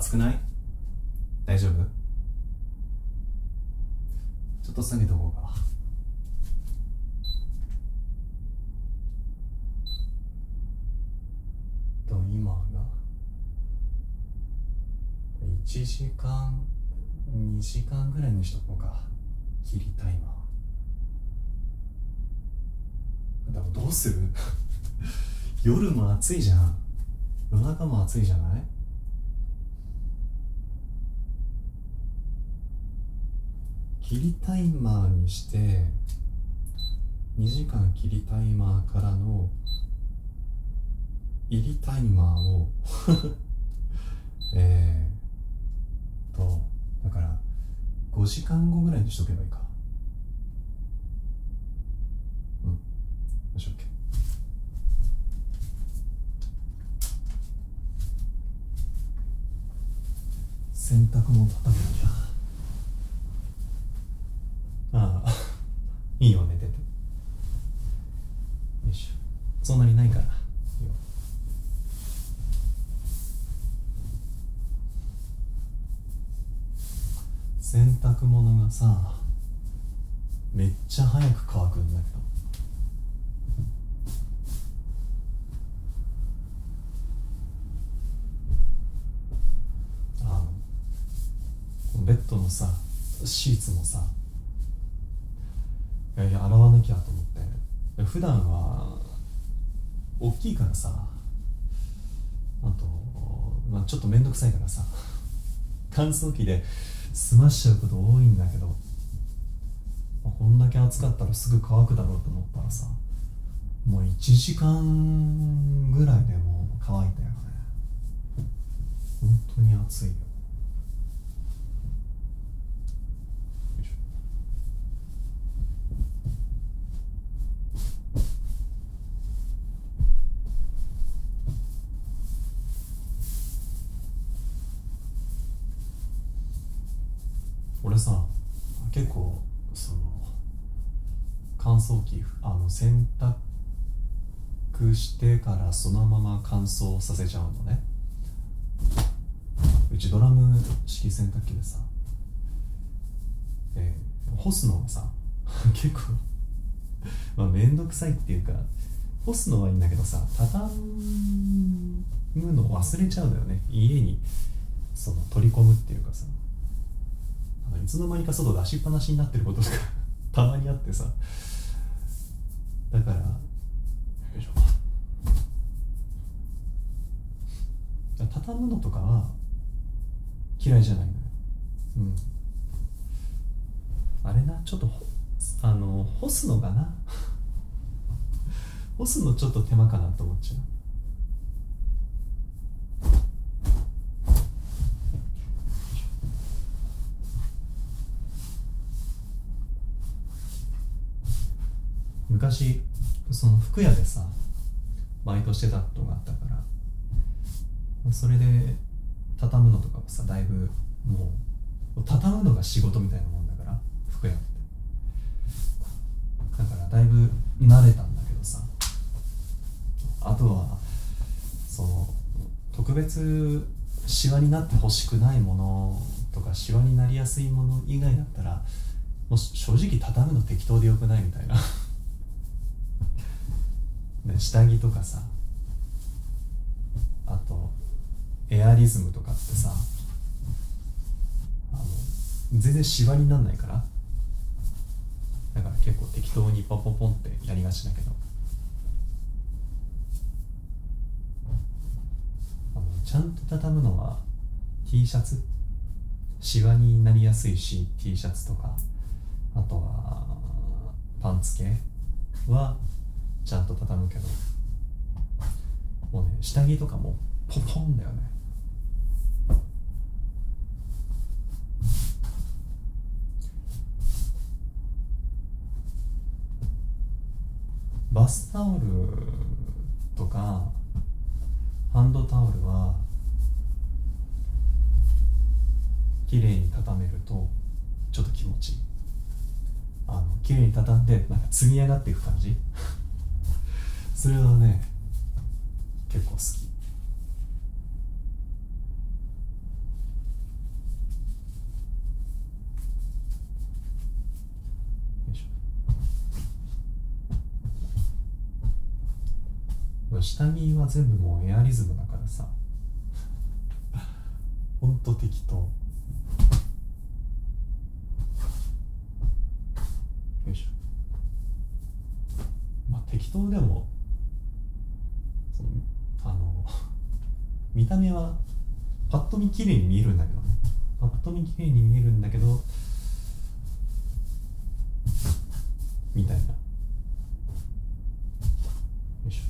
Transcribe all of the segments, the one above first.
暑くない大丈夫ちょっと下げとこうか。と今が1時間2時間ぐらいにしとこうか。切りたいなでもどうする 夜も暑いじゃん夜中も暑いじゃない切りタイマーにして2時間切りタイマーからの入りタイマーを えー、とだから5時間後ぐらいにしとけばいいかうんよし OK 洗濯物たたむんじゃああいいよ寝ててよいしょ そんなにないからいいよ洗濯物がさめっちゃ早く乾くんだけどベッドのさシーツもさいやいや洗わなきゃと思って普段は大きいからさあと、まちょっと面倒くさいからさ乾燥機で済ましちゃうこと多いんだけどこんだけ暑かったらすぐ乾くだろうと思ったらさもう1時間ぐらいでもう乾いたよね本当に暑いよよいしょ。俺さ結構その乾燥機あの洗濯してからそのまま乾燥させちゃうのねうちドラム式洗濯機でさ、え干すのがさ 結構 まあ面倒くさいっていうか干すのはいいんだけどさ畳むの忘れちゃうんだよね家にその取り込むっていうかさいつの間にか外出しっぱなしになってることとか たまにあってさだからよいしょ畳むのとかは嫌いじゃないのようんあれなちょっとあの干すのかな 干すのちょっと手間かなと思っちゃうよいしょ。昔その服屋でさバイトしてたことがあったからそれで畳むのとかもさだいぶもう畳むのが仕事みたいなもんだから服屋ってだからだいぶ慣れたんだけどさあとはその特別くシワになってほしくないものとかしわになりやすいもの以外だったらもう正直畳むの適当でよくないみたいな ね、下着とかさあとエアリズムとかってさあの全然シワになんないからだから結構適当にポンポンポンってやりがちだけどあのちゃんと畳むのは T シャツシワになりやすいし T シャツとかあとはパンツ系はちゃんと畳むけどもうね下着とかもポポンだよねバスタオルとかハンドタオルは綺麗にたためるとちょっと気持ちいいあの綺麗に畳んでなんか積み上がっていく感じ それはね結構好きよいしょ。下着は全部もうエアリズムだからさほんと適当よいしょまあ適当でもその、あの見た目はパッと見綺麗に見えるんだけどねパッと見綺麗に見えるんだけどみたいなよいしょ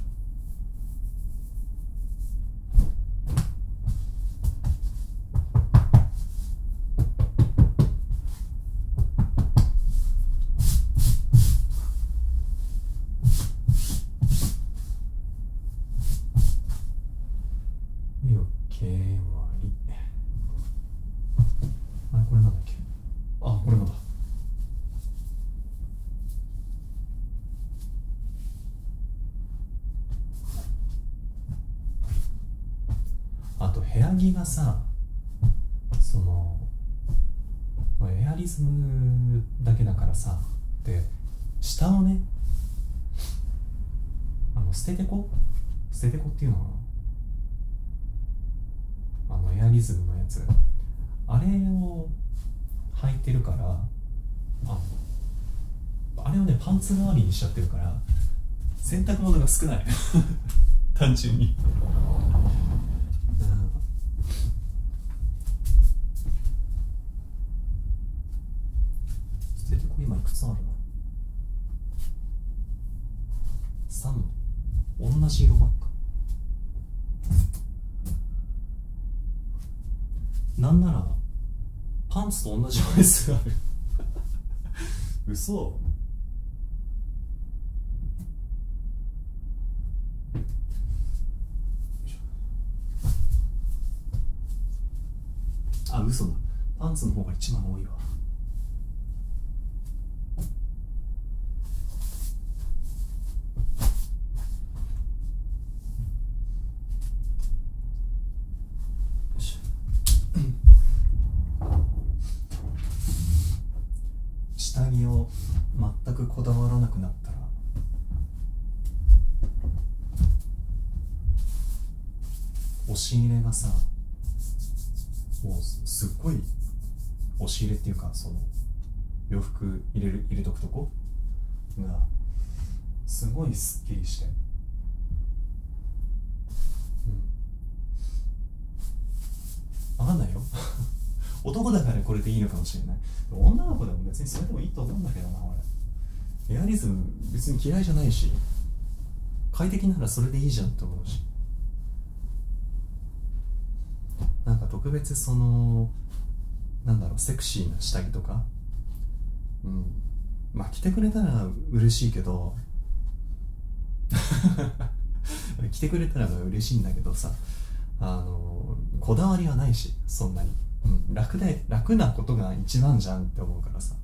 よけわりあれこれなんだっけあこれのだあと部屋着がさそのエアリズムだけだからさで下をねあの捨ててこ捨ててこっていうのかなあのエアリズムのやつあれを履いてるからあのあれをねパンツ代わりにしちゃってるから洗濯物が少ない 単純にうん、捨て今いくつあるの ?3 枚同じ色ばっかなんならパンツと同じ枚数ある嘘あ嘘だパンツの方が一番多いわ下着を全くこだわらなくなったら押し入れがさもうすっごい押し入れっていうかその洋服入れる入れとくとこがすごいすっきりして、うん、分かんないよ 男だからこれでいいのかもしれない女の子でも別にそれでもいいと思うんだけどな俺エアリズム別に嫌いじゃないし快適ならそれでいいじゃんと思うしなんか特別そのなんだろうセクシーな下着とかうんまあ着てくれたら嬉しいけど 着てくれたら嬉しいんだけどさあのこだわりはないしそんなに、うん、楽だよね楽なことが一番じゃんって思うからさ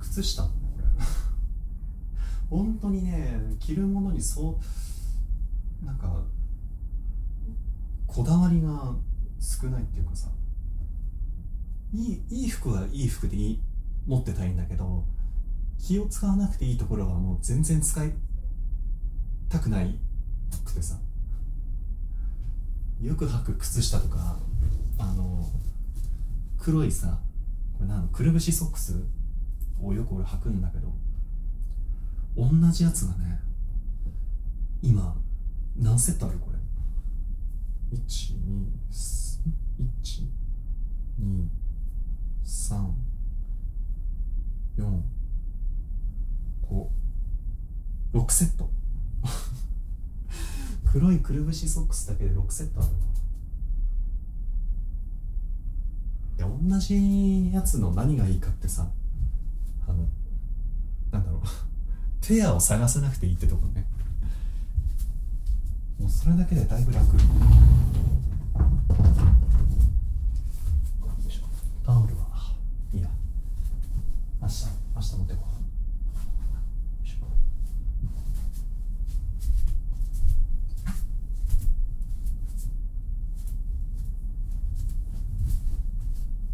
靴下 本当にね着るものにそうなんかこだわりが少ないっていうかさいいいい服はいい服で持ってたいんだけど気を使わなくていいところはもう全然使いたくないくてさよく履く靴下とかあの黒いさこれなんくるぶしソックスをよく俺履くんだけど同じやつがね今何セットあるこれ12345セット 黒いくるぶしソックスだけで6セットあるないや同じやつの何がいいかってさあのなんだろう ペアを探さなくていいってとこねもうそれだけでだいぶ楽よいしょ。タオルはいいや明日明日持ってこう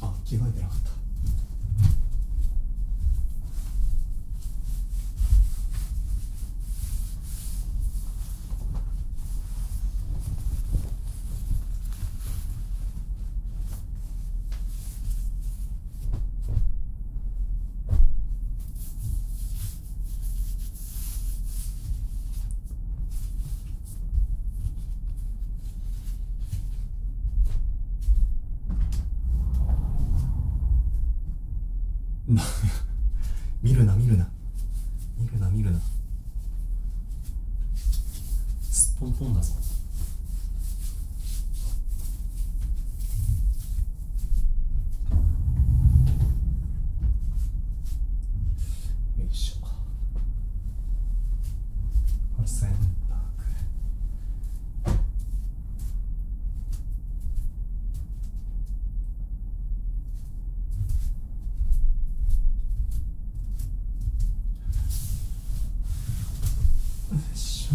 あ着替えてなかった 見るな見るな見るな見るなすっぽんぽんだぞよいしょしょこれセンターくれよいしょ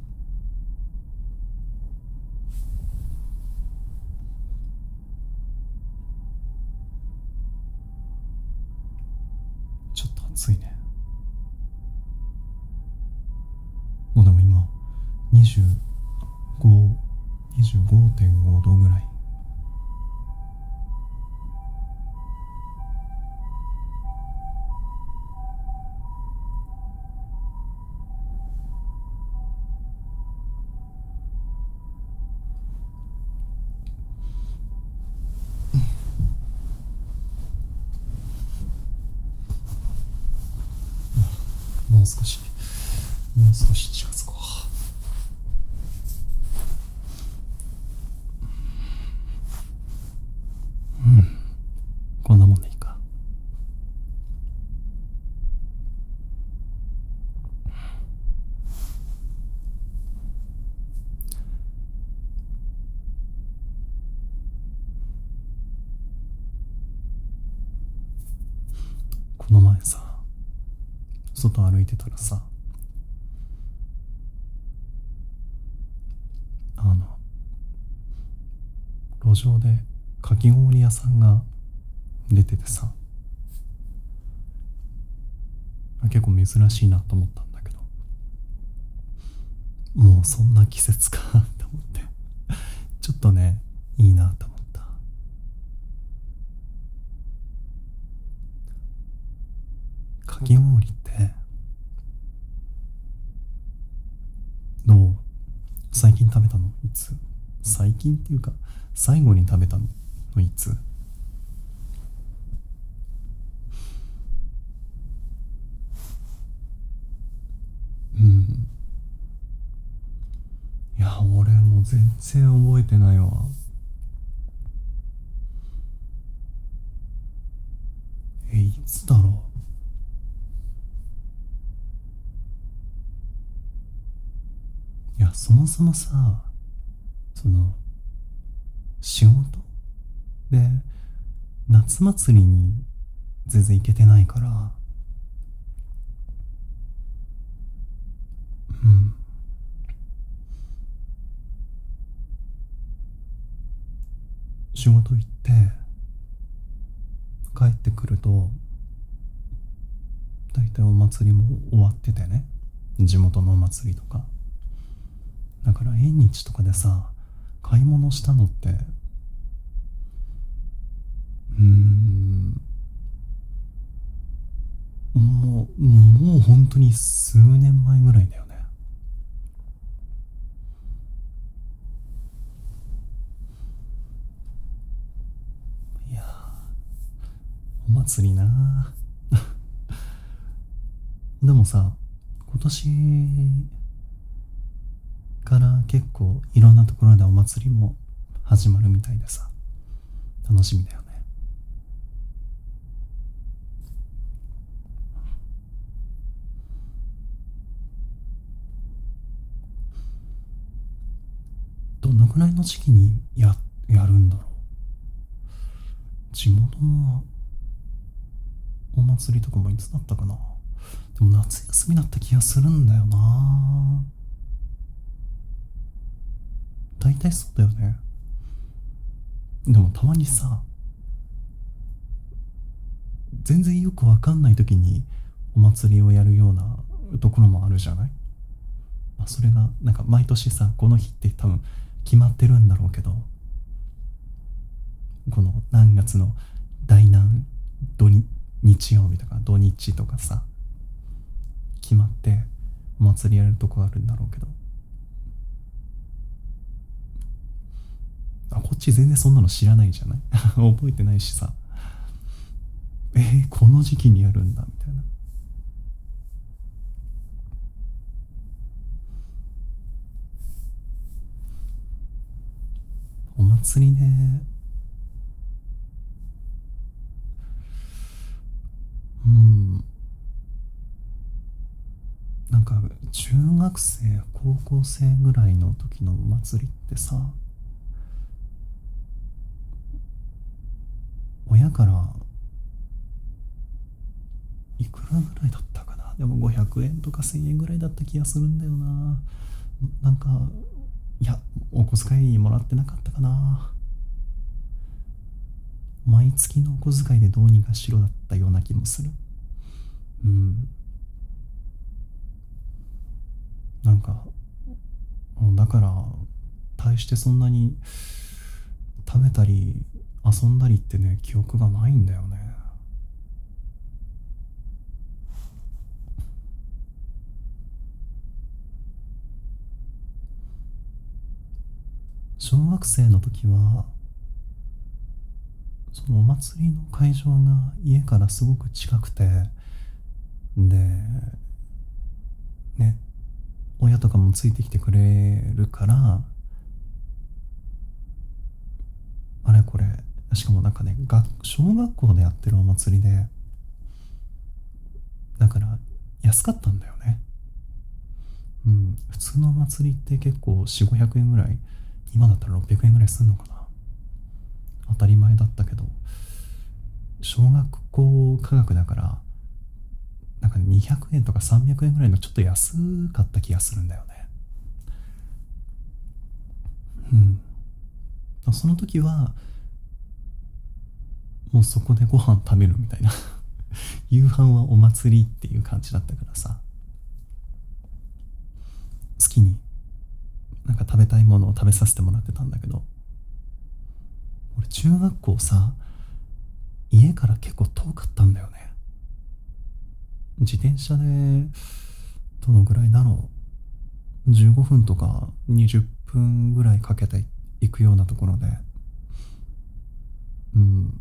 ちょっと暑いねもうでも今2525.5度ぐらいもう少しもう少し近づこううんこんなもんでいいかこの前さ外歩いてたらさあの路上でかき氷屋さんが出ててさ結構珍しいなと思ったんだけどもうそんな季節かと思ってちょっとねいいなと思ったかき氷ってどう最近食べたのいつ最近っていうか最後に食べたのいつうんいや俺も全然覚えてないわえいつだろういやそもそもさその仕事で夏祭りに全然行けてないからうん仕事行って帰ってくると大体お祭りも終わっててね地元のお祭りとかだから縁日とかでさ買い物したのってうんもうもう本当に数年前ぐらいだよねいやお祭りな でもさ今年から結構いろんなところでお祭りも始まるみたいでさ楽しみだよねどのぐらいの時期にやるんだろう地元のお祭りとかもいつだったかなでも夏休みだった気がするんだよな大体そうだよねでもたまにさ全然よくわかんない時にお祭りをやるようなところもあるじゃない、まそれがなんか毎年さこの日って多分決まってるんだろうけどこの何月の大難土日曜日とか土日とかさ決まってお祭りやるとこあるんだろうけどあこっち全然そんなの知らないじゃない 覚えてないしさえー、この時期にやるんだみたいなお祭りねうんなんか中学生高校生ぐらいの時のお祭りってさ親からいくらぐらいだったかなでも500円とか1000円ぐらいだった気がするんだよななんかいやお小遣いもらってなかったかな毎月のお小遣いでどうにかしろだったような気もするうんなんかだから大してそんなに食べたり遊んだりってね記憶がないんだよね小学生の時はそのお祭りの会場が家からすごく近くてでね親とかもついてきてくれるからあれこれしかもなんかね小学校でやってるお祭りでだから安かったんだよねうん普通のお祭りって結構4500円ぐらい今だったら600円ぐらいすんのかな当たり前だったけど小学校科学だからなんか200円とか300円ぐらいのちょっと安かった気がするんだよねうんその時はもうそこでご飯食べるみたいな 夕飯はお祭りっていう感じだったからさ好きになんか食べたいものを食べさせてもらってたんだけど俺中学校さ家から結構遠かったんだよね自転車でどのぐらいだろう15分とか20分ぐらいかけて行くようなところでうん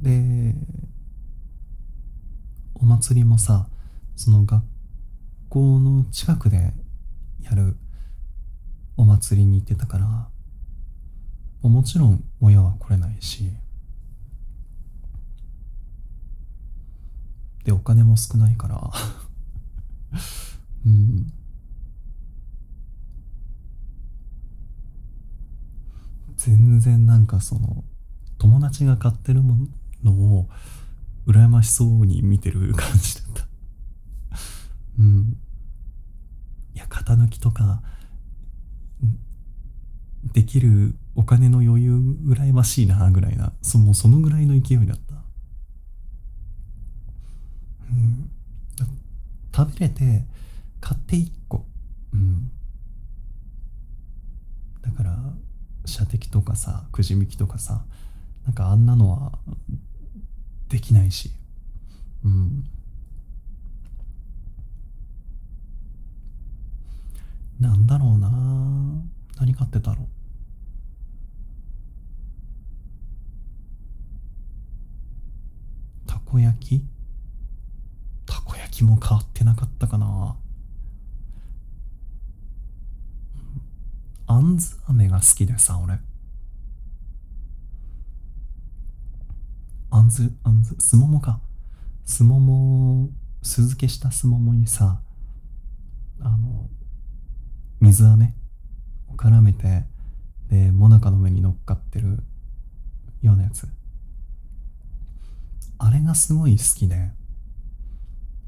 でお祭りもさその学校の近くでやるお祭りに行ってたからもちろん親は来れないしでお金も少ないから うん全然なんかその友達が買ってるものを羨ましそうに見てる感じだったうんいや型抜きとかできるお金の余裕羨ましいなぐらいなそそのぐらいの勢いだったうん食べれて買って個うんだから射的とかさくじ引きとかさなんかあんなのはできないしうんなんだろうな何買ってたろうたこ焼きたこ焼きも変わってなかったかなあんず飴が好きでさ俺あんずあんずすももかすもも酢漬けしたすももにさあの水飴を絡めてでもなかの上に乗っかってるようなやつあれがすごい好きで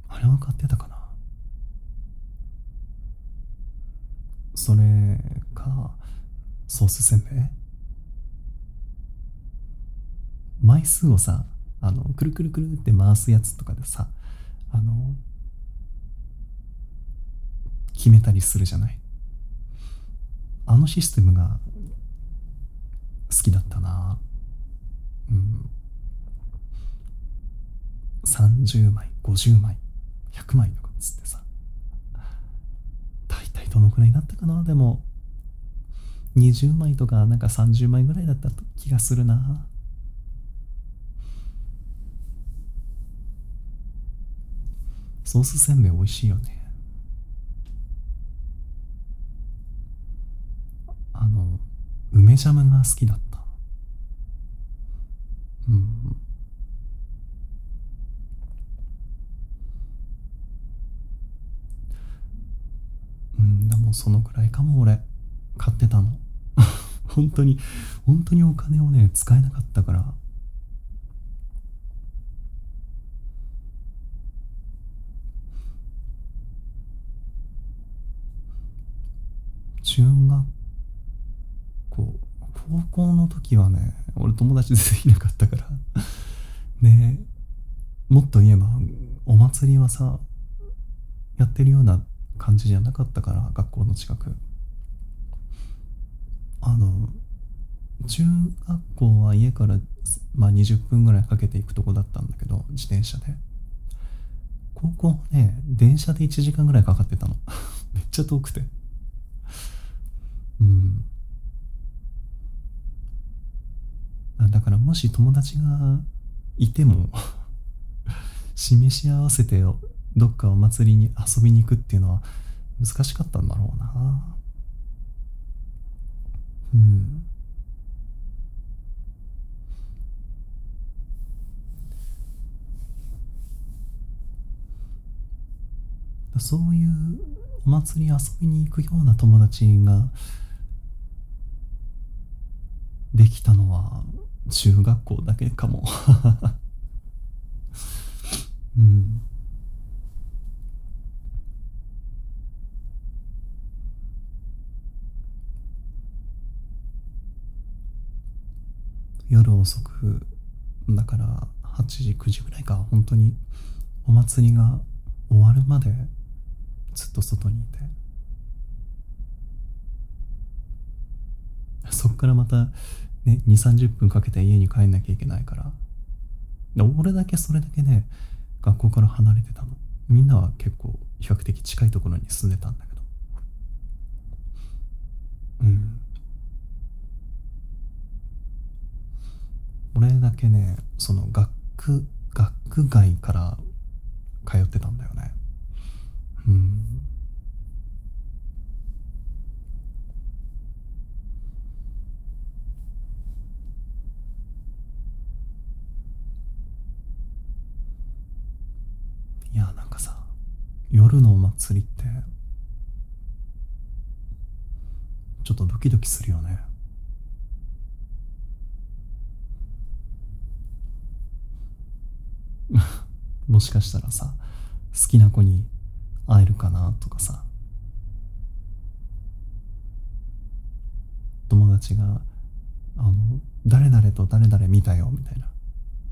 あれは買ってたかなそれかソースせんべい枚数をさあのくるくるくるって回すやつとかでさあの決めたりするじゃないあのシステムが好きだったなうん30枚50枚100枚とかっつってさ大体どのくらいになったかなでも20枚とかなんか30枚ぐらいだった気がするなソースせんべい美味しいよねあの梅ジャムが好きだったうんうんでもそのくらいかも俺買ってたの 本当に本当にお金をね使えなかったから中学校高校の時はね俺友達でいなかったからで もっと言えばお祭りはさやってるような感じじゃなかったから学校の近くあの中学校は家から、まあ、20分ぐらいかけて行くとこだったんだけど自転車で高校ね電車で1時間ぐらいかかってたの めっちゃ遠くてうんだからもし友達がいても 示し合わせてどっかお祭りに遊びに行くっていうのは難しかったんだろうなうんそういうお祭り遊びに行くような友達ができたのは中学校だけかも うん夜遅くだから8時9時ぐらいか本当にお祭りが終わるまでずっと外にいてそこからまたね2 3 0分かけて家に帰んなきゃいけないから俺だけそれだけね学校から離れてたのみんなは結構比較的近いところに住んでたんだけどうん俺だけねその学区学外から通ってたんだよねうんいやなんかさ夜のお祭りってちょっとドキドキするよね もしかしたらさ好きな子に会えるかなとかさ友達が「あの誰々と誰々見たよ」みたいな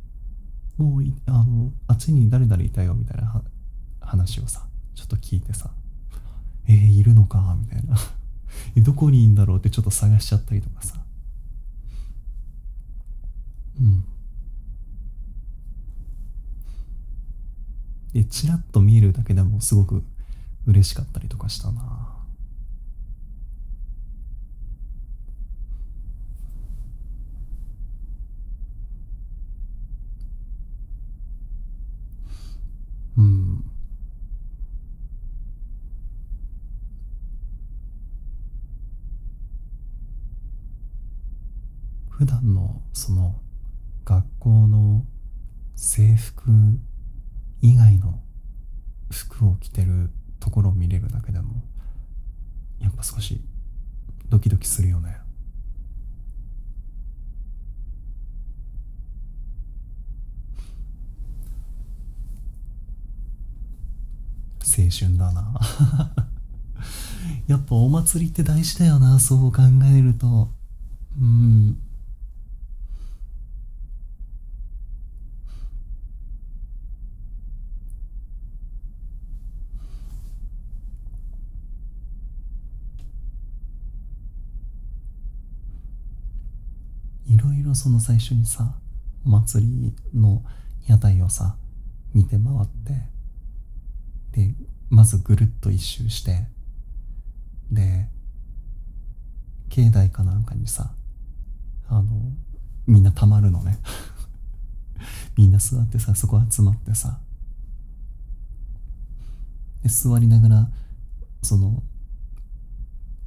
「もうあのあっちに誰々いたよ」みたいな話をさちょっと聞いてさ「えー、いるのか」みたいなどこにいんだろうってちょっと探しちゃったりとかさうんでチラッと見えるだけでもすごく嬉しかったりとかしたなうん普段のその学校の制服以外の服を着てるところを見れるだけでもやっぱ少しドキドキするよね青春だな やっぱお祭りって大事だよなそう考えるとうんいろいろその最初にさお祭りの屋台をさ見て回ってでまずぐるっと一周してで境内かなんかにさあのみんなたまるのね みんな座ってさそこ集まってさで座りながらその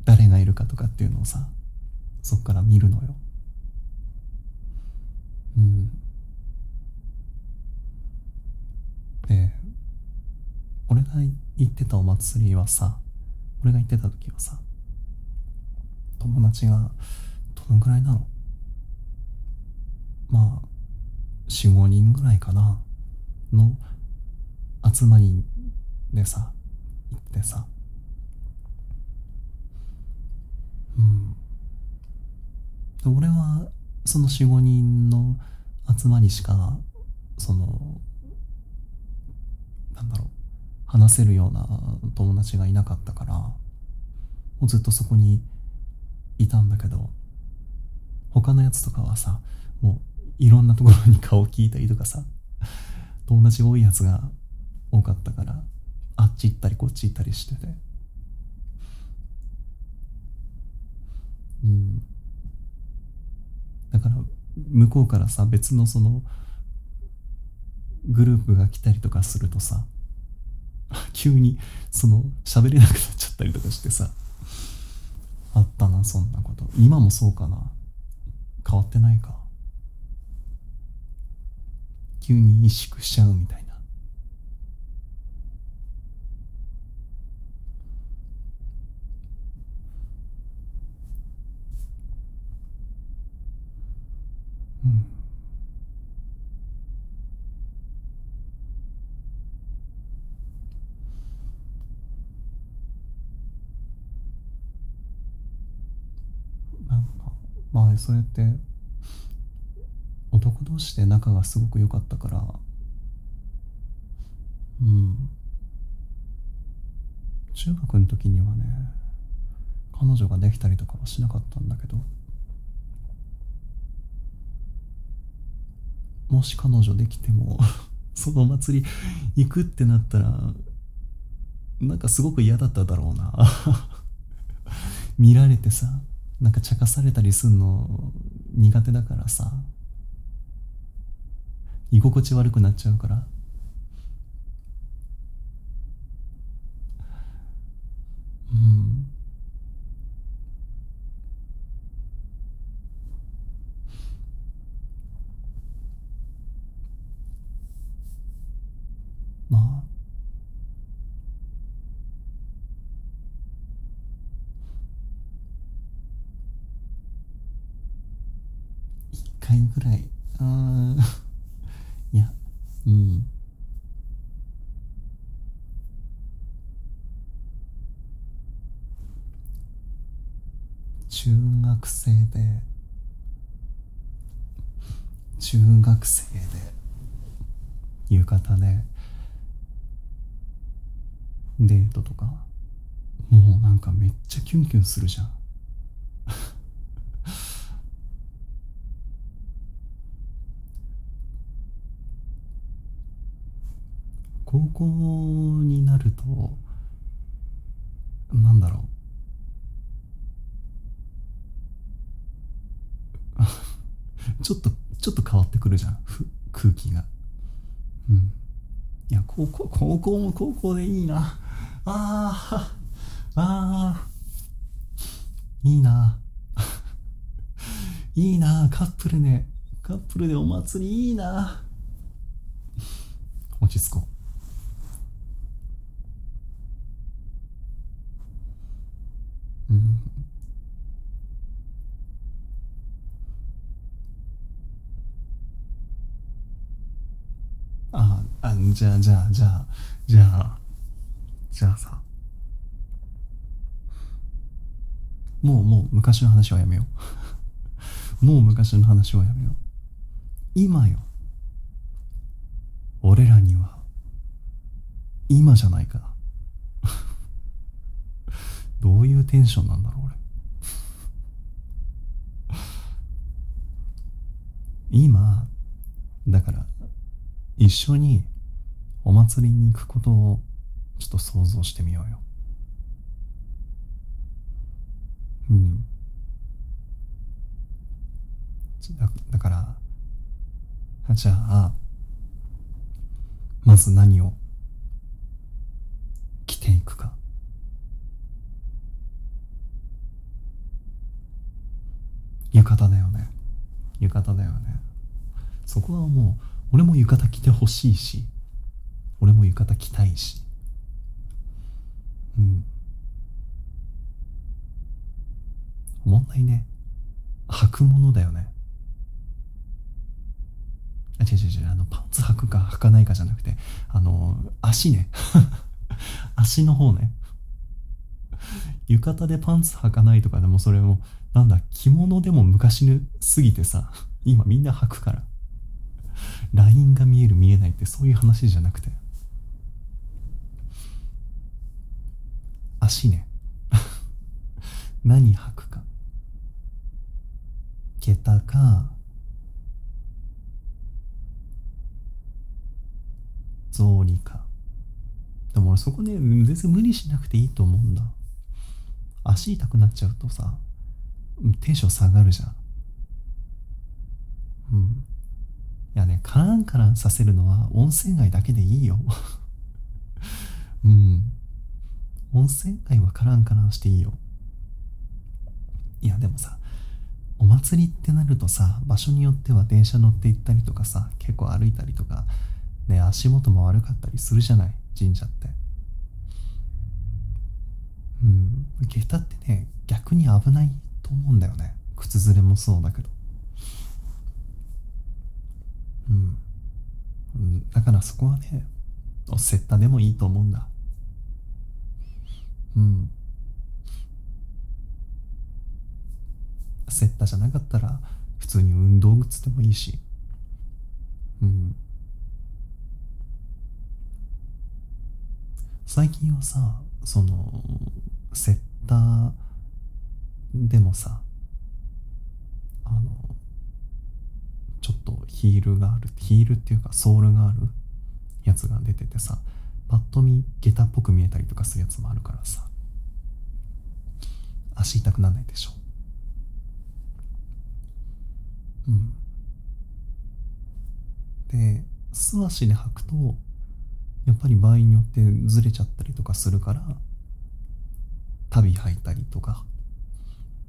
誰がいるかとかっていうのをさそっから見るのようんで俺が行ってたお祭りはさ俺が行ってた時はさ友達がどのぐらいなのまあ45人ぐらいかなの集まりでさ行ってさうん俺はその45人の集まりしかそのなんだろう話せるような友達がいなかったからもうずっとそこにいたんだけど他のやつとかはさもういろんなところに顔を聞いたりとかさ友達多いやつが多かったからあっち行ったりこっち行ったりしててうんだから向こうからさ別のそのグループが来たりとかするとさ 急にその喋れなくなっちゃったりとかしてさあったなそんなこと今もそうかな変わってないか急に萎縮しちゃうみたいなうんなんかまあそれって男同士で仲がすごく良かったからうん中学の時にはね彼女ができたりとかはしなかったんだけどもし彼女できても その祭り行くってなったらなんかすごく嫌だっただろうな 見られてさなんか茶化されたりすんの苦手だからさ居心地悪くなっちゃうからうんまあ一回ぐらいあ いやうん中学生で中学生で夕方で。デートとかもうなんかめっちゃキュンキュンするじゃん 高校になるとなんだろう ちょっとちょっと変わってくるじゃん空気がうんいやここ高校も高校でいいなあーあいいな いいなカップルねカップルでお祭りいいな落ち着こううんああじゃあじゃあじゃあじゃあじゃあさもうもう昔の話はやめよう もう昔の話はやめよう今よ俺らには今じゃないかどういうテンションなんだろう俺今だから一緒にお祭りに行くことをちょっと想像してみようようんだだからじゃあまず何を着ていくか浴衣だよね浴衣だよねそこはもう俺も浴衣着てほしいし俺も浴衣着たいしうん問題ね履くものだよね違う違う違うあのパンツ履くか履かないかじゃなくてあの足ね 足の方ね浴衣でパンツ履かないとかでもそれもなんだ着物でも昔すぎてさ今みんな履くからラインが見える見えないってそういう話じゃなくて足ね 何履くか桁か草履かでも俺そこね全然無理しなくていいと思うんだ足痛くなっちゃうとさテンション下がるじゃんうんいやねカランカランさせるのは温泉街だけでいいよ うん温泉街はからんからしていいよいやでもさお祭りってなるとさ場所によっては電車乗って行ったりとかさ結構歩いたりとかね足元も悪かったりするじゃない神社ってうん下駄ってね逆に危ないと思うんだよね靴ずれもそうだけどうんだからそこはねおッタたでもいいと思うんだうんセッタじゃなかったら普通に運動靴でもいいしうん最近はさそのセッターでもさあのちょっとヒールがあるヒールっていうかソールがあるやつが出ててさパッと見下駄っぽく見えたりとかするやつもあるからさ足痛くならないでしょうんで素足で履くとやっぱり場合によってずれちゃったりとかするから足袋履いたりとか、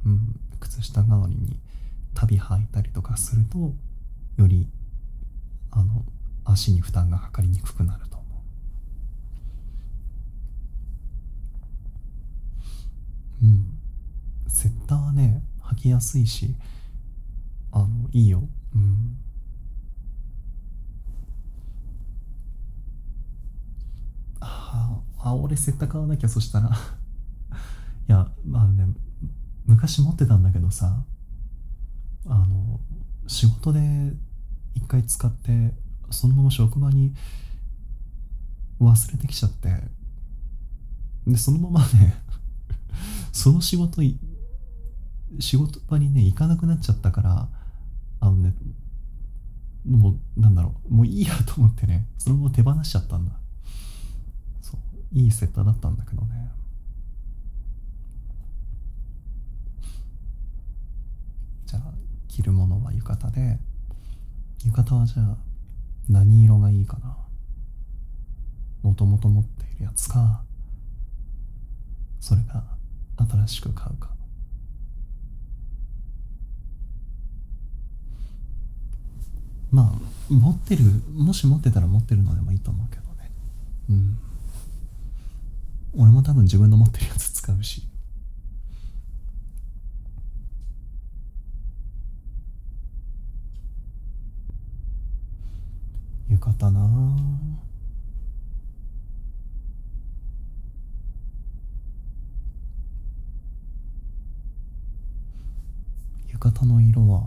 うん、靴下代わりに足袋履いたりとかするとよりあの足に負担がかかりにくくなると思う。うんセッターはね履きやすいしあのいいよ。うんああ俺セッタ買わなきゃそしたら いやまあね昔持ってたんだけどさあの仕事で一回使ってそのまま職場に忘れてきちゃってでそのままね その仕事仕事場にね行かなくなっちゃったからあのねもうなんだろうもういいやと思ってねそのまま手放しちゃったんだそういいセッターだったんだけどねじゃあ着るものは浴衣で浴衣はじゃあ何色がいいかなもともと持っているやつかそれが新しく買うかまあ持ってるもし持ってたら持ってるのでもいいと思うけどねうん俺も多分自分の持ってるやつ使うし浴衣な浴衣の色は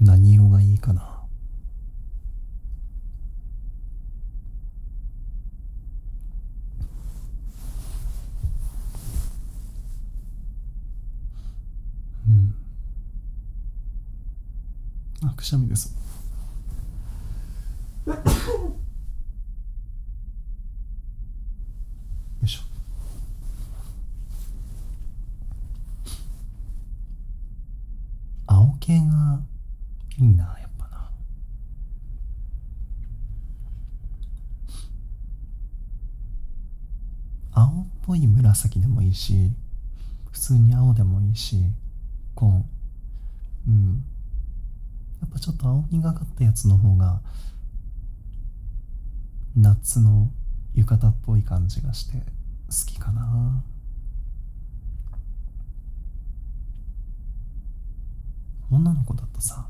何色がいいかなうんあくしゃみですよいしょ青系がいいなやっぱな青っぽい紫でもいいし普通に青でもいいしこううんやっぱちょっと青みがかったやつの方が夏の浴衣っぽい感じがして好きかな女の子だとさ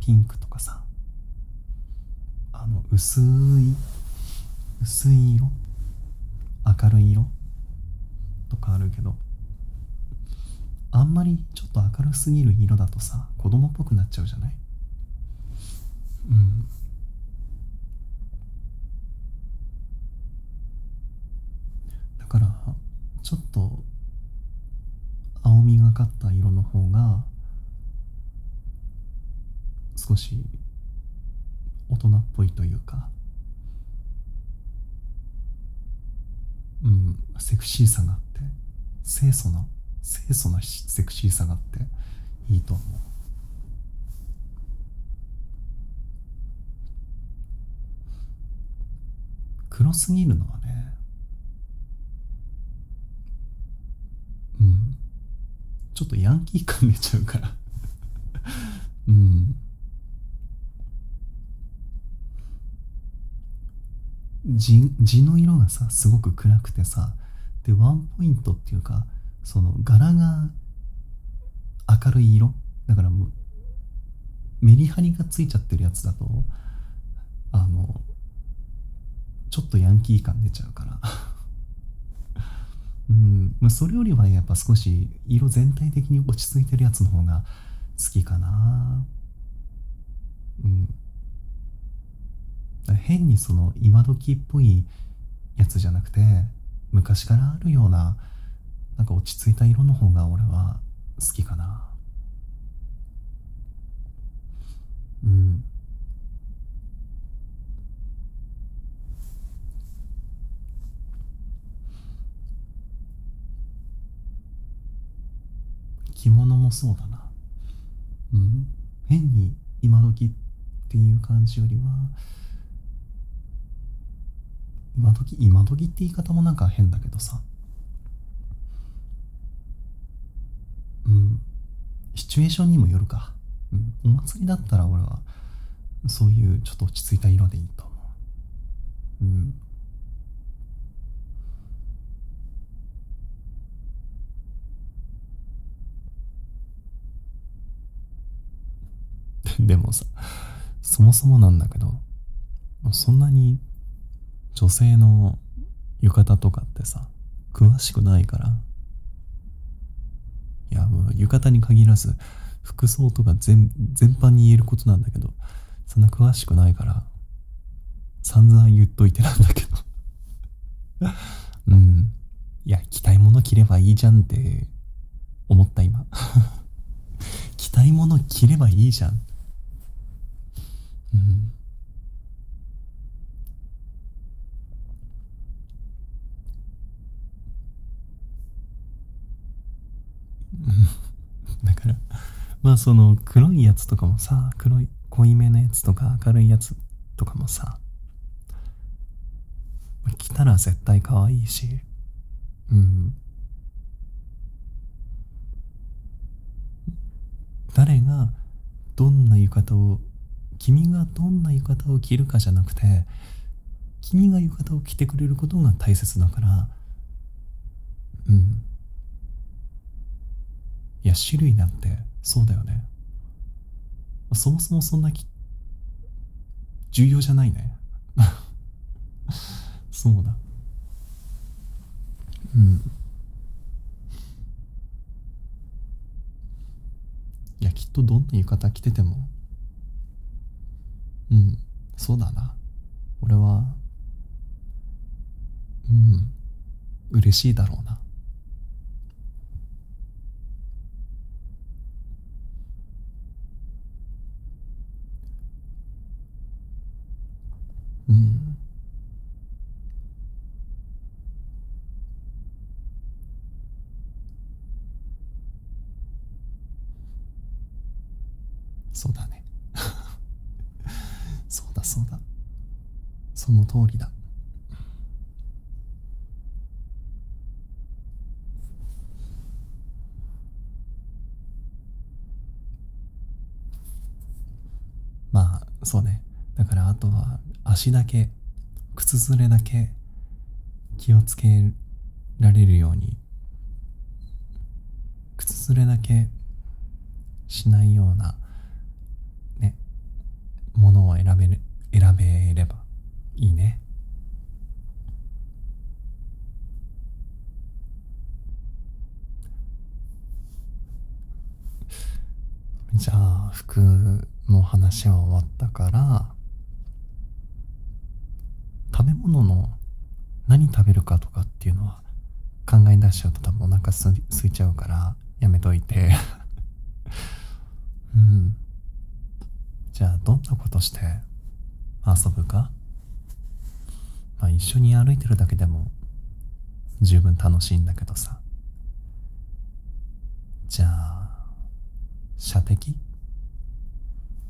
ピンクとかさあの薄い薄い色明るい色とかあるけどあんまりちょっと明るすぎる色だとさ子供っぽくなっちゃうじゃないうんだからちょっと青みがかった色の方が少し大人っぽいというかうん、セクシーさがあって清楚な清楚なセクシーさがあっていいと思う黒すぎるのはねうんちょっとヤンキー感出ちゃうから うん地の色がさすごく暗くてさでワンポイントっていうかその柄が明るい色だからもうメリハリがついちゃってるやつだとあのちょっとヤンキー感出ちゃうから うんまあ、それよりはやっぱ少し色全体的に落ち着いてるやつの方が好きかなうん変にその今時っぽいやつじゃなくて昔からあるようななんか落ち着いた色の方が俺は好きかなうん着物もそうだなうん変に今時っていう感じよりは今時今時って言い方もなんか変だけどさうんシチュエーションにもよるか、うん、お祭りだったら俺はそういうちょっと落ち着いた色でいいと思ううん でもさ、そもそもなんだけど、そんなに女性の浴衣とかってさ、詳しくないから。いや、もう浴衣に限らず、服装とか全全般に言えることなんだけど、そんな詳しくないから、散々言っといてなんだけどうんいや着たいもの着ればいいじゃんって思った今着たいもの着ればいいじゃんうん だからまあその黒いやつとかもさ黒い濃いめのやつとか明るいやつとかもさ着たら絶対可愛いしうん誰がどんな浴衣を君がどんな浴衣を着るかじゃなくて君が浴衣を着てくれることが大切だからうんいや種類なんてそうだよねそもそもそんなき重要じゃないね そうだうんいやきっとどんな浴衣着ててもうんそうだな俺はうん嬉しいだろうなうんそうだね そうだそうだその通りだまあそうねだからあとは足だけ靴ずれだけ気をつけられるように靴擦れだけしないようなねものを選べる選べればいいねじゃあ服の話は終わったから食べ物の何食べるかとかっていうのは考え出しちゃうと多分お腹すすいちゃうからやめといて うんじゃあどんなことして遊ぶかまあ一緒に歩いてるだけでも十分楽しいんだけどさじゃあ射的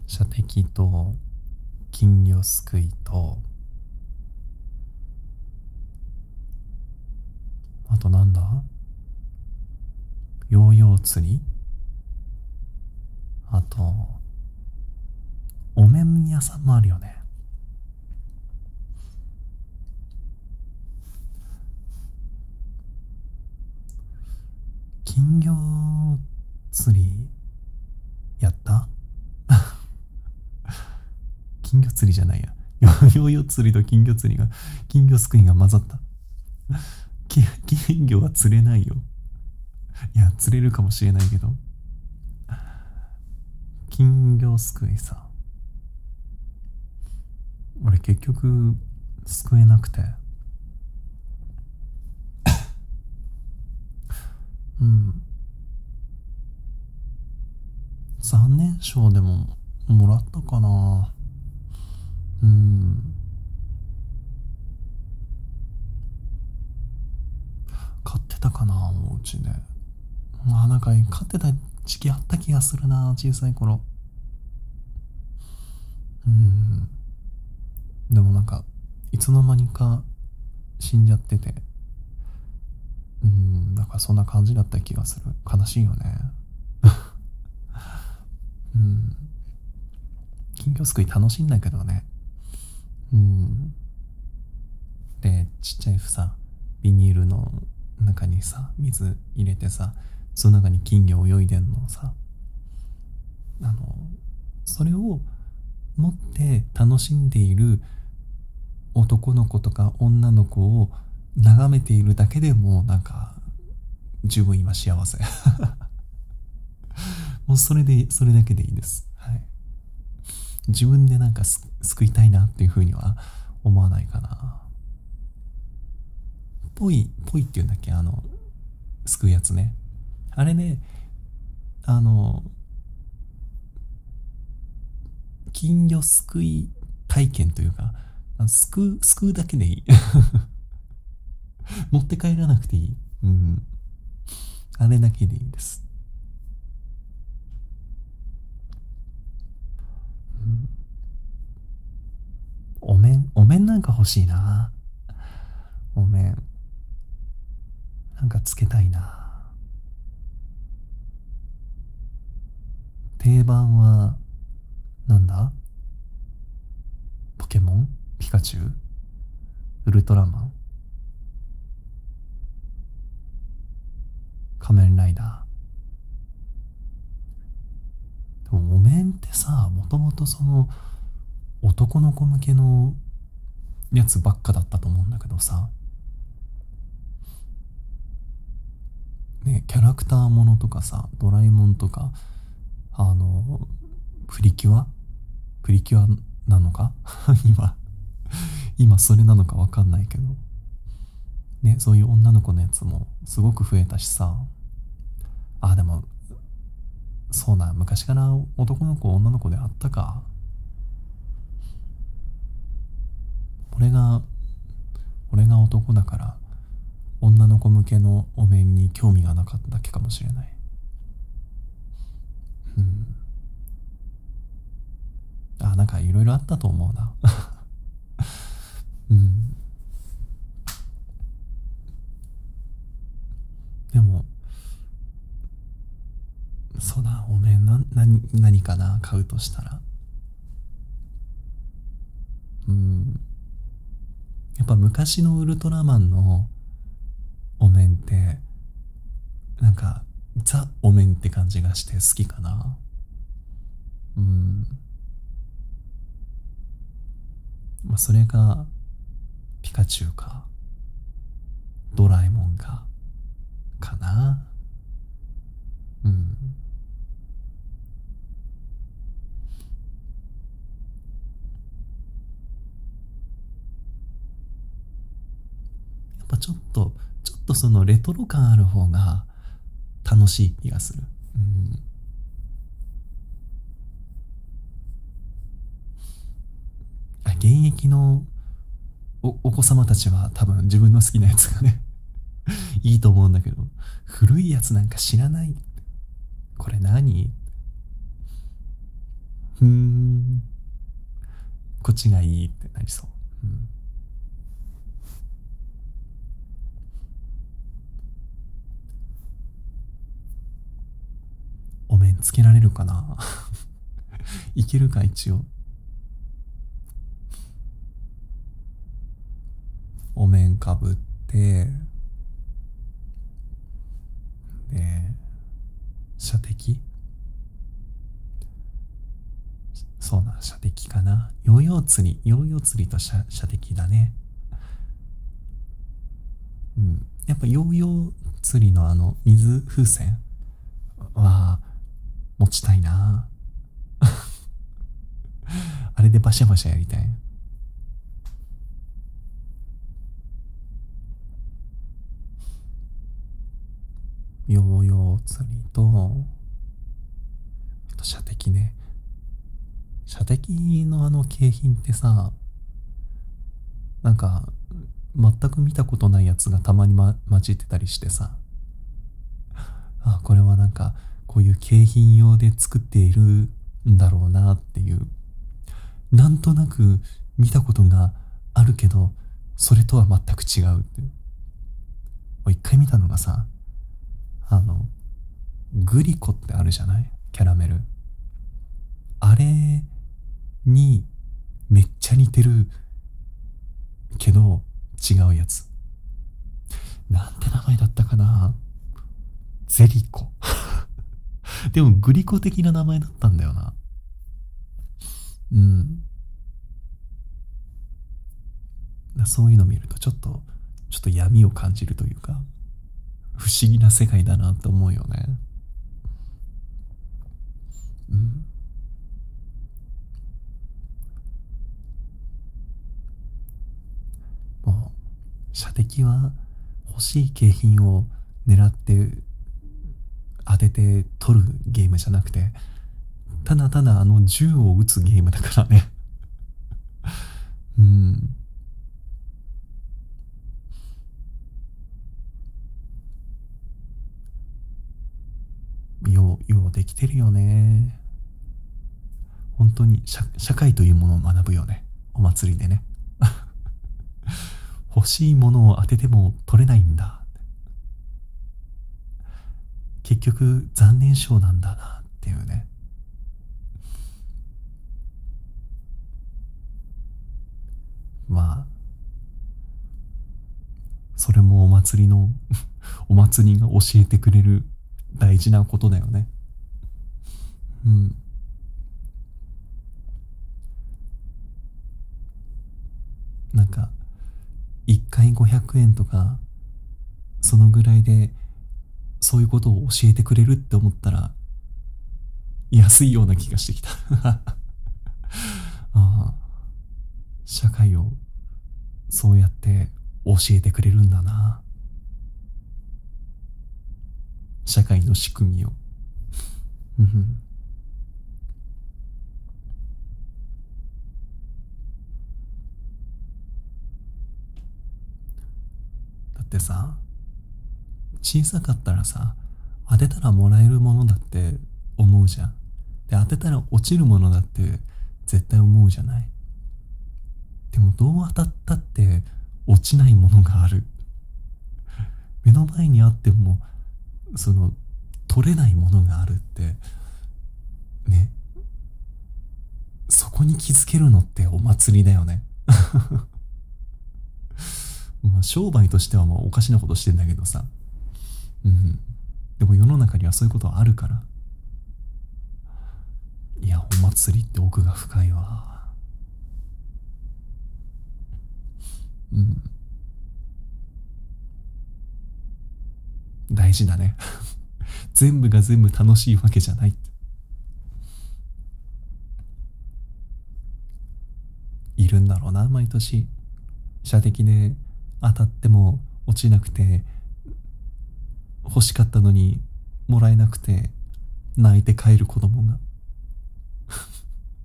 射的と金魚すくいとあとなんだヨーヨー釣りあと、お面屋さんもあるよね。金魚釣りやった金魚釣りじゃないや。ヨーヨー釣りと金魚釣りが、金魚すくいが混ざった。金魚は釣れないよ。いや、釣れるかもしれないけど。金魚すくいさ。俺結局、すくえなくて。うん。残念賞でももらったかなうん買ってたかなおうちでまあなんか勝ってた時期あった気がするな小さい頃うんでもなんかいつの間にか死んじゃっててうんだからそんな感じだった気がする悲しいよね うん金魚すくい楽しいんだけどねうんでちっちゃい房ビニールの中にさ水入れてさその中に金魚泳いでんのさあのそれを持って楽しんでいる男の子とか女の子を眺めているだけでもうなんか十分今幸せ もうそれでそれだけでいいです、はい、自分でなんか救いたいなっていうふうには思わないかなぽいぽいっていうんだっけあの救うやつねあれねあの金魚すくい体験というか、すくすくうだけでいい。持って帰らなくていい。うん。あれだけでいいです。うん、お面、お面なんか欲しいな。お面。なんかつけたいな。定番はなんだポケモンピカチュウウルトラマン仮面ライダーでもお面ってさもともとその男の子向けのやつばっかだったと思うんだけどさねキャラクターものとかさドラえもんとかあのプリキュアプリキュアなのか 今今それなのか分かんないけどねそういう女の子のやつもすごく増えたしさあでもそうな昔から男の子女の子であったか俺が俺が男だから女の子向けのお面に興味がなかっただけかもしれないうんあなんかいろいろあったと思うな うんでもそうだお面えな何何かな買うとしたらうんやっぱ昔のウルトラマンのお面ってなんかザお面って感じがして好きかなうんまあそれがピカチュウかドラえもんがかなうんやっぱちょっとちょっとそのレトロ感ある方が楽しい気がするうんあ、現役のおお子様たちは多分自分の好きなやつがね いいと思うんだけど古いやつなんか知らないこれ何ふんこっちがいいってなりそう、うん、お面つけられるかないけるか一応お面かぶってで射的そうな射的かなヨーヨー釣りヨーヨー釣りと射射的だねうんやっぱヨーヨー釣りのあの水風船は持ちたいな あれでバシャバシャやりたいヨーヨー釣りとあと射的ね射的のあの景品ってさなんか全く見たことないやつがたまに、ま、混じってたりしてさあこれはなんかこういう景品用で作っているんだろうなっていうなんとなく見たことがあるけどそれとは全く違うってう一回見たのがさあのグリコってあるじゃないキャラメルあれにめっちゃ似てるけど違うやつなんて名前だったかなゼリコ でもグリコ的な名前だったんだよなうんそういうの見るとちょっとちょっと闇を感じるというか不思議な世界だなと思うよねうんもう射的は欲しい景品を狙って当てて取るゲームじゃなくてただただあの銃を撃つゲームだからねうんよう、ようできてるよね。本当に社会というものを学ぶよね。お祭りでね。欲しいものを当てても取れないんだ。結局残念賞なんだなっていうね。まあ、それもお祭りの お祭りが教えてくれる大事なことだよねうんなんか1回500円とかそのぐらいでそういうことを教えてくれるって思ったら安いような気がしてきた ああ社会をそうやって教えてくれるんだな社会の仕組みをだってさ小さかったらさ当てたらもらえるものだって思うじゃんで当てたら落ちるものだって絶対思うじゃないでもどう当たったって落ちないものがある目の前にあってもその取れないものがあるってねそこに気づけるのってお祭りだよね まあ商売としてはまあおかしなことしてんだけどさうんでも世の中にはそういうことあるからいやお祭りって奥が深いわうん大事だね 全部が全部楽しいわけじゃないっているんだろうな毎年射的で当たっても落ちなくて欲しかったのにもらえなくて泣いて帰る子供が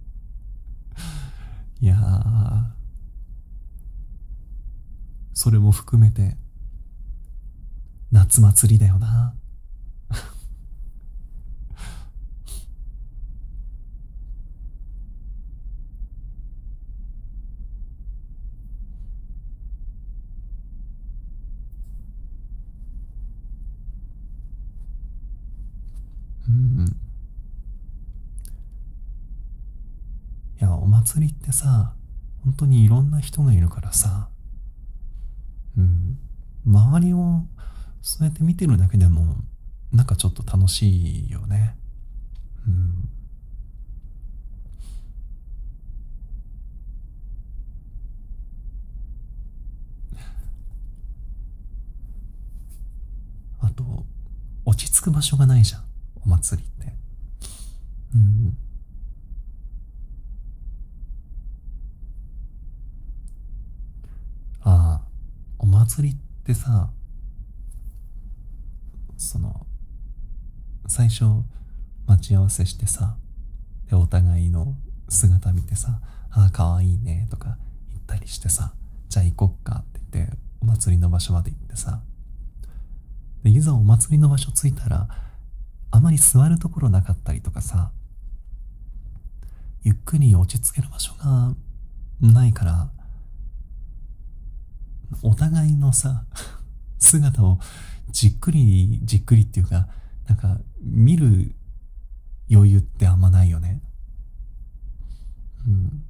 いやそれも含めて夏祭りだよな うんいやお祭りってさ本当にいろんな人がいるからさうん周りをそうやって見てるだけでもなんかちょっと楽しいよねうんあと落ち着く場所がないじゃんお祭りってうんああお祭りってさその最初待ち合わせしてさでお互いの姿見てさ「ああかわいいね」とか言ったりしてさ「じゃあ行こっか」って言ってお祭りの場所まで行ってさでいざお祭りの場所着いたらあまり座るところなかったりとかさゆっくり落ち着ける場所がないからお互いのさ姿をじっくりじっくりっていうかなんか見る余裕ってあんまないよねうん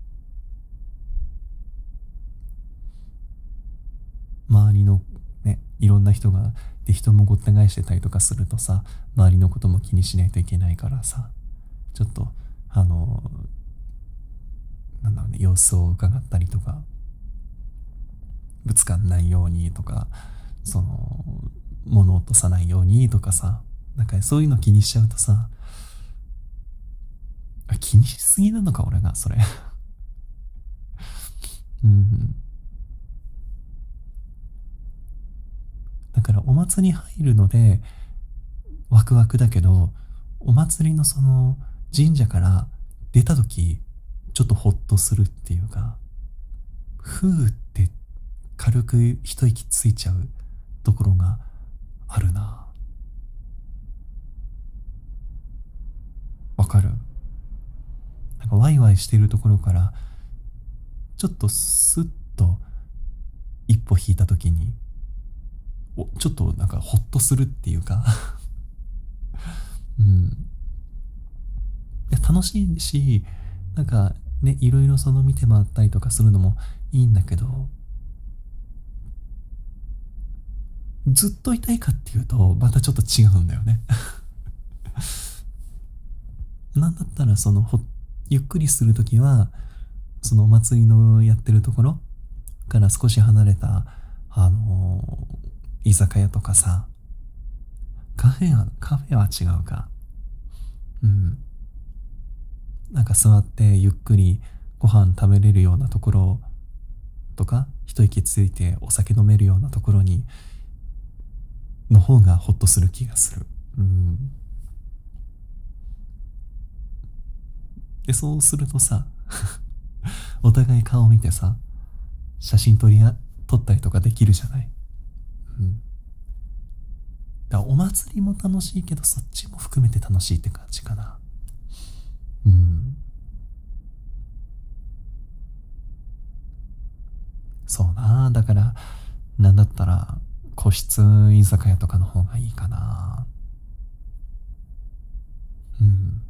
周りのねいろんな人がで人もごった返してたりとかするとさ周りのことも気にしないといけないからさちょっとあのなんだろうね様子を伺ったりとかぶつかんないようにとかその物落とさないようにとかさなんかそういうの気にしちゃうとさ気にしすぎなのか俺がそれ うんだからお祭り入るのでワクワクだけどお祭りのその神社から出た時ちょっとホッとするっていうかふーって軽く一息ついちゃうところがあるなわかるなんかワイワイしてるところからちょっとスッと一歩引いた時におちょっとなんかホッとするっていうか うん楽しいしなんかねいろいろその見て回ったりとかするのもいいんだけどずっと痛いかっていうとまたちょっと違うんだよね なんだったらそのほゆっくりする時はそのお祭りのやってるところから少し離れた、あの居酒屋とかさ、カフェは、カフェは違うか。うん。なんか座ってゆっくりご飯食べれるようなところとか、一息ついてお酒飲めるようなところに、の方がホッとする気がする。うん。で、そうするとさ、お互い顔見てさ、写真撮りや撮ったりとかできるじゃない。うん。だお祭りも楽しいけど、そっちも含めて楽しいって感じかな。うん。そうな、だから、なんだったら、個室居酒屋とかの方がいいかな。うん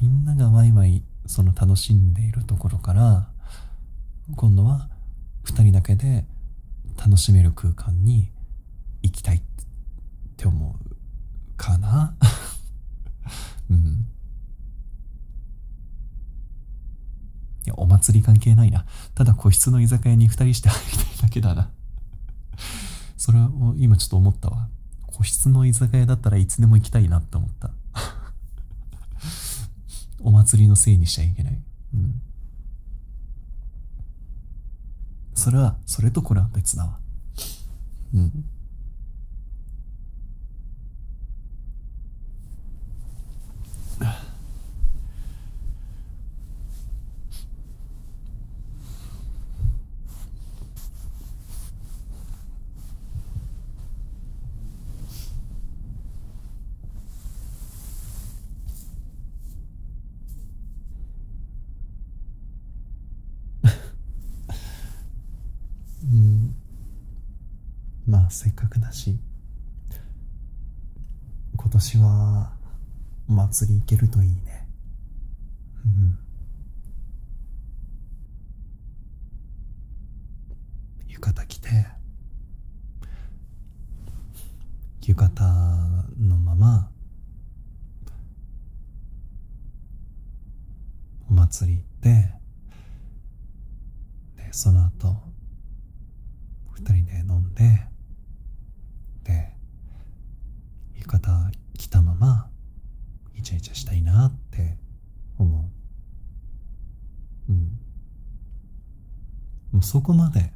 みんながワイワイその楽しんでいるところから今度は2人だけで楽しめる空間に行きたいって思うかなうんいや、お祭り関係ないな。ただ個室の居酒屋に2人して入りたいだけだな。それは今ちょっと思ったわ。個室の居酒屋だったらいつでも行きたいなって思った。お祭りのせいにしちゃいけない。うん。それは、それとこれは別だわ。うん。うんまあせっかくだし今年はお祭り行けるといいねうん浴衣着て浴衣のままお祭り行ってでその後2人で飲んでで浴衣着たままイチャイチャしたいなって思ううんもうそこまで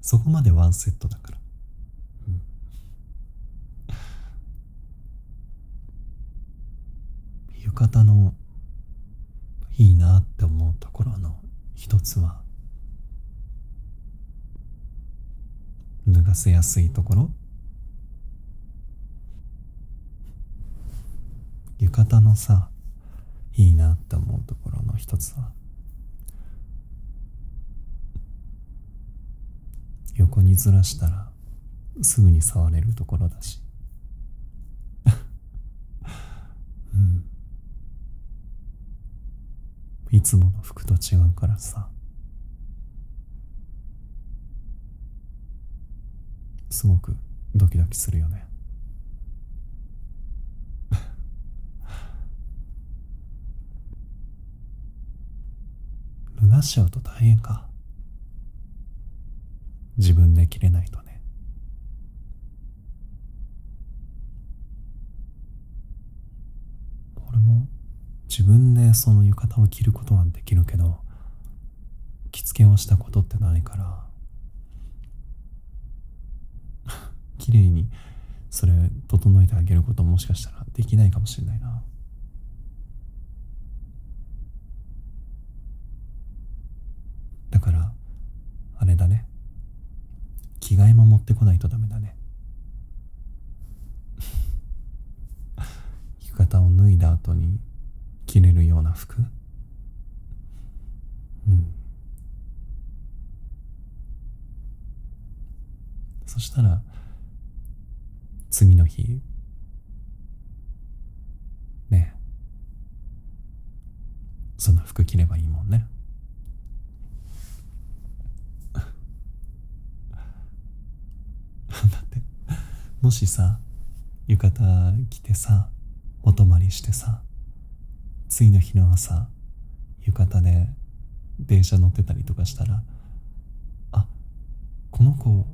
そこまでワンセットだから、浴衣のいいなって思うところの一つは脱がせやすいところ浴衣のさいいなって思うところの一つは横にずらしたらすぐに触れるところだしうんいつもの服と違うからさすごくドキドキするよね脱がしちゃうと大変か自分で着れないとね俺も自分でその浴衣を着ることはできるけど着付けをしたことってないから 綺麗にそれ整えてあげることもしかしたらできないかもしれないな。だからあれだね着替えも持ってこないとダメだね 浴衣を脱いだ後に着れるような服うんそしたら次の日ねそんな服着ればいいもんね だってもしさ浴衣着てさお泊まりしてさ次の日の朝浴衣で電車乗ってたりとかしたらあこの子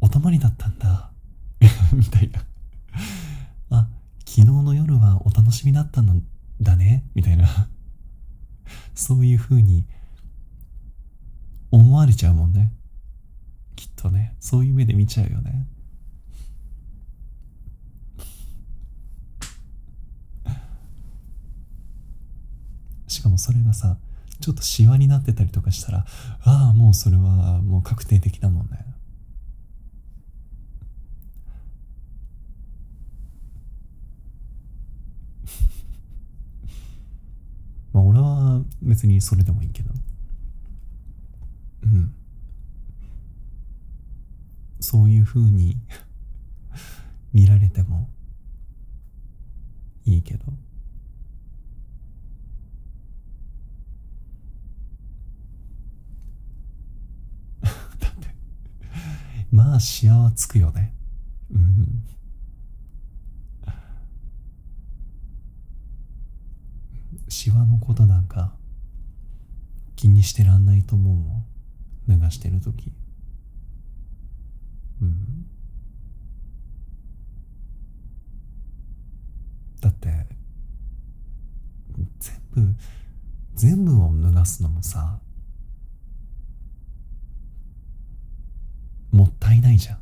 お泊まりだったんだ みたいなあ昨日の夜はお楽しみだったんだねみたいな そういうふうに思われちゃうもんねきっとねそういう目で見ちゃうよねしかもそれがさちょっとシワになってたりとかしたらああもうそれはもう確定的だもんね まあ俺は別にそれでもいいけどうんそういうふうに 見られてもいいけど だってまあしわはつくよねうんしわのことなんか気にしてらんないと思うもん流してる時うんだって全部全部を脱がすのもさもったいないじゃん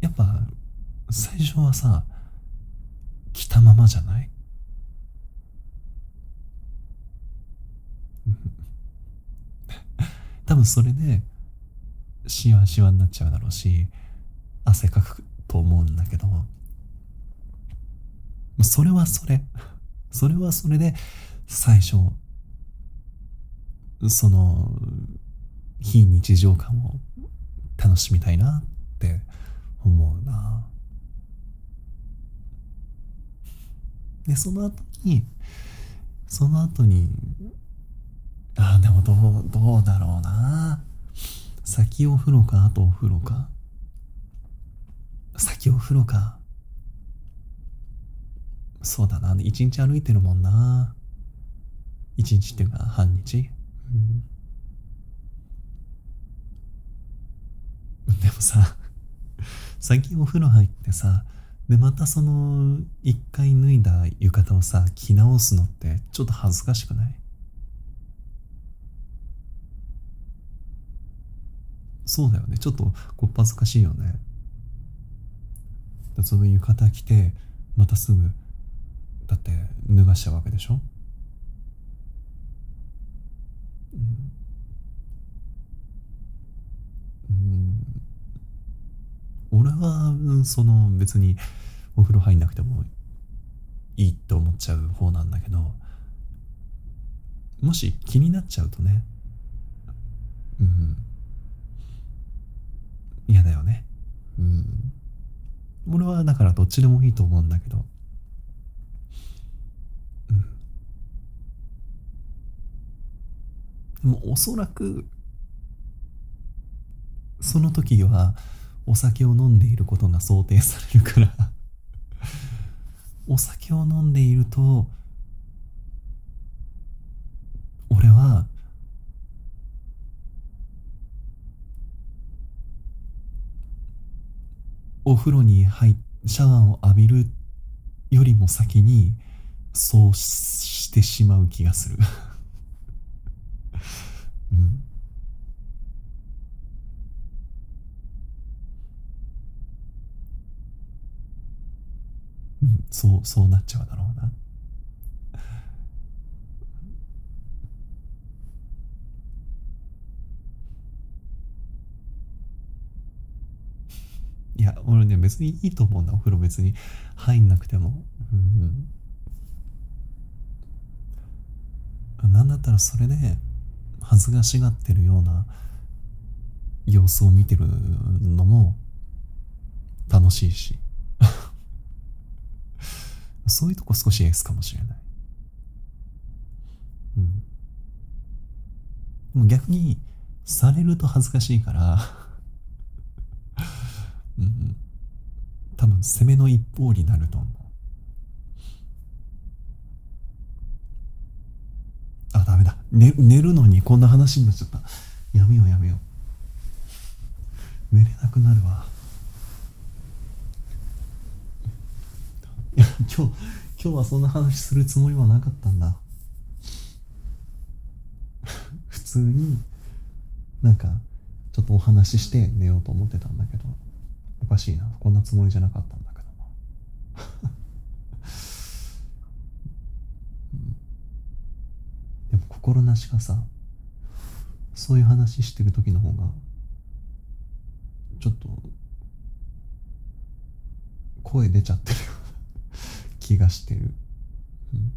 やっぱ最初はさ着たままじゃない 多分それでシワシワになっちゃうだろうし汗かくと思うんだけどそれはそれそれはそれで最初その非日常感を楽しみたいなって思うなでその後にその後にああでもどうどうだろうな先お風呂かあとお風呂か先お風呂かそうだな一日歩いてるもんな一日っていうか半日、うん、でもさ先お風呂入ってさでまたその一回脱いだ浴衣をさ着直すのってちょっと恥ずかしくないそうだよねちょっとこっ恥ずかしいよねその浴衣着てまたすぐだって脱がしちゃうわけでしょ、うんうん、俺はその別にお風呂入んなくてもいいって思っちゃう方なんだけどもし気になっちゃうとねうん嫌だよねうん俺はだからどっちでもいいと思うんだけどうんでもおそらくその時はお酒を飲んでいることが想定されるからお酒を飲んでいると俺はお風呂に入っ、シャワーを浴びるよりも先にそうしてしまう気がするうんうんそうそうなっちゃうだろうないや俺ね別にいいと思うんだお風呂別に入んなくてもうんなんだったらそれで恥ずかしがってるような様子を見てるのも楽しいし そういうとこ少しエースかもしれない、うん、でも逆にされると恥ずかしいから うん、多分攻めの一方になると思うあダメだ、寝るのにこんな話になっちゃったやめようやめよう寝れなくなるわいや 今日今日はそんな話するつもりはなかったんだ 普通になんかちょっとお話しして寝ようと思ってたんだけどおかしいなこんなつもりじゃなかったんだけどな でも心なしかさそういう話してる時の方がちょっと声出ちゃってるような気がしてる、うん、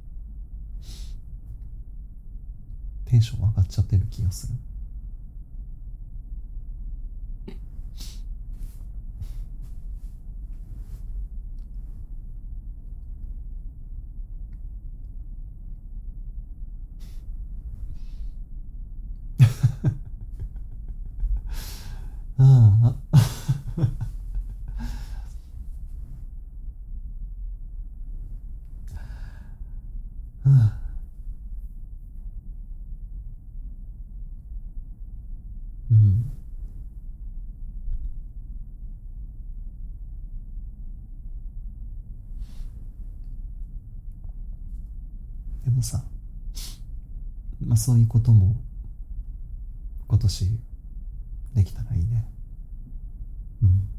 テンション上がっちゃってる気がするああああうんでもさまあそういうことも今年できたらいいねうん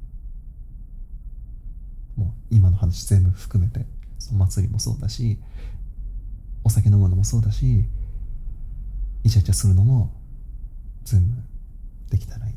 もう今の話全部含めてその祭りもそうだしお酒飲むのもそうだしイチャイチャするのも全部できたらいいね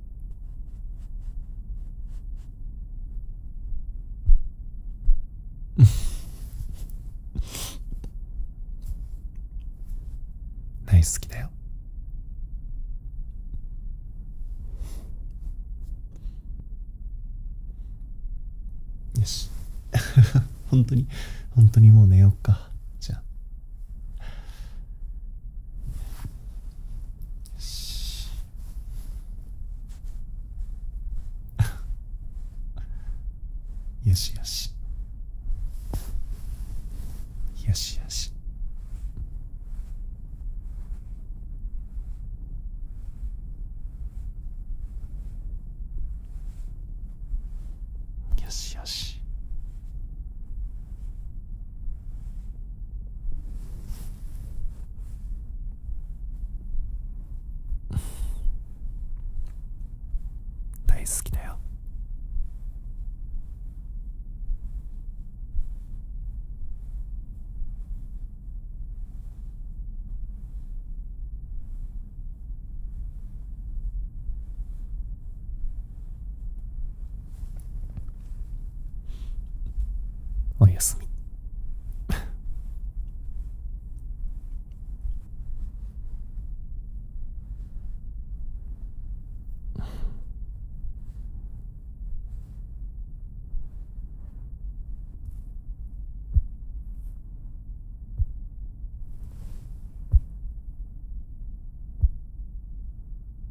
うん。大好きだよよし 本当に本当にもう寝ようかじゃあよしよしよしよしよしよし大好きだよおやすみ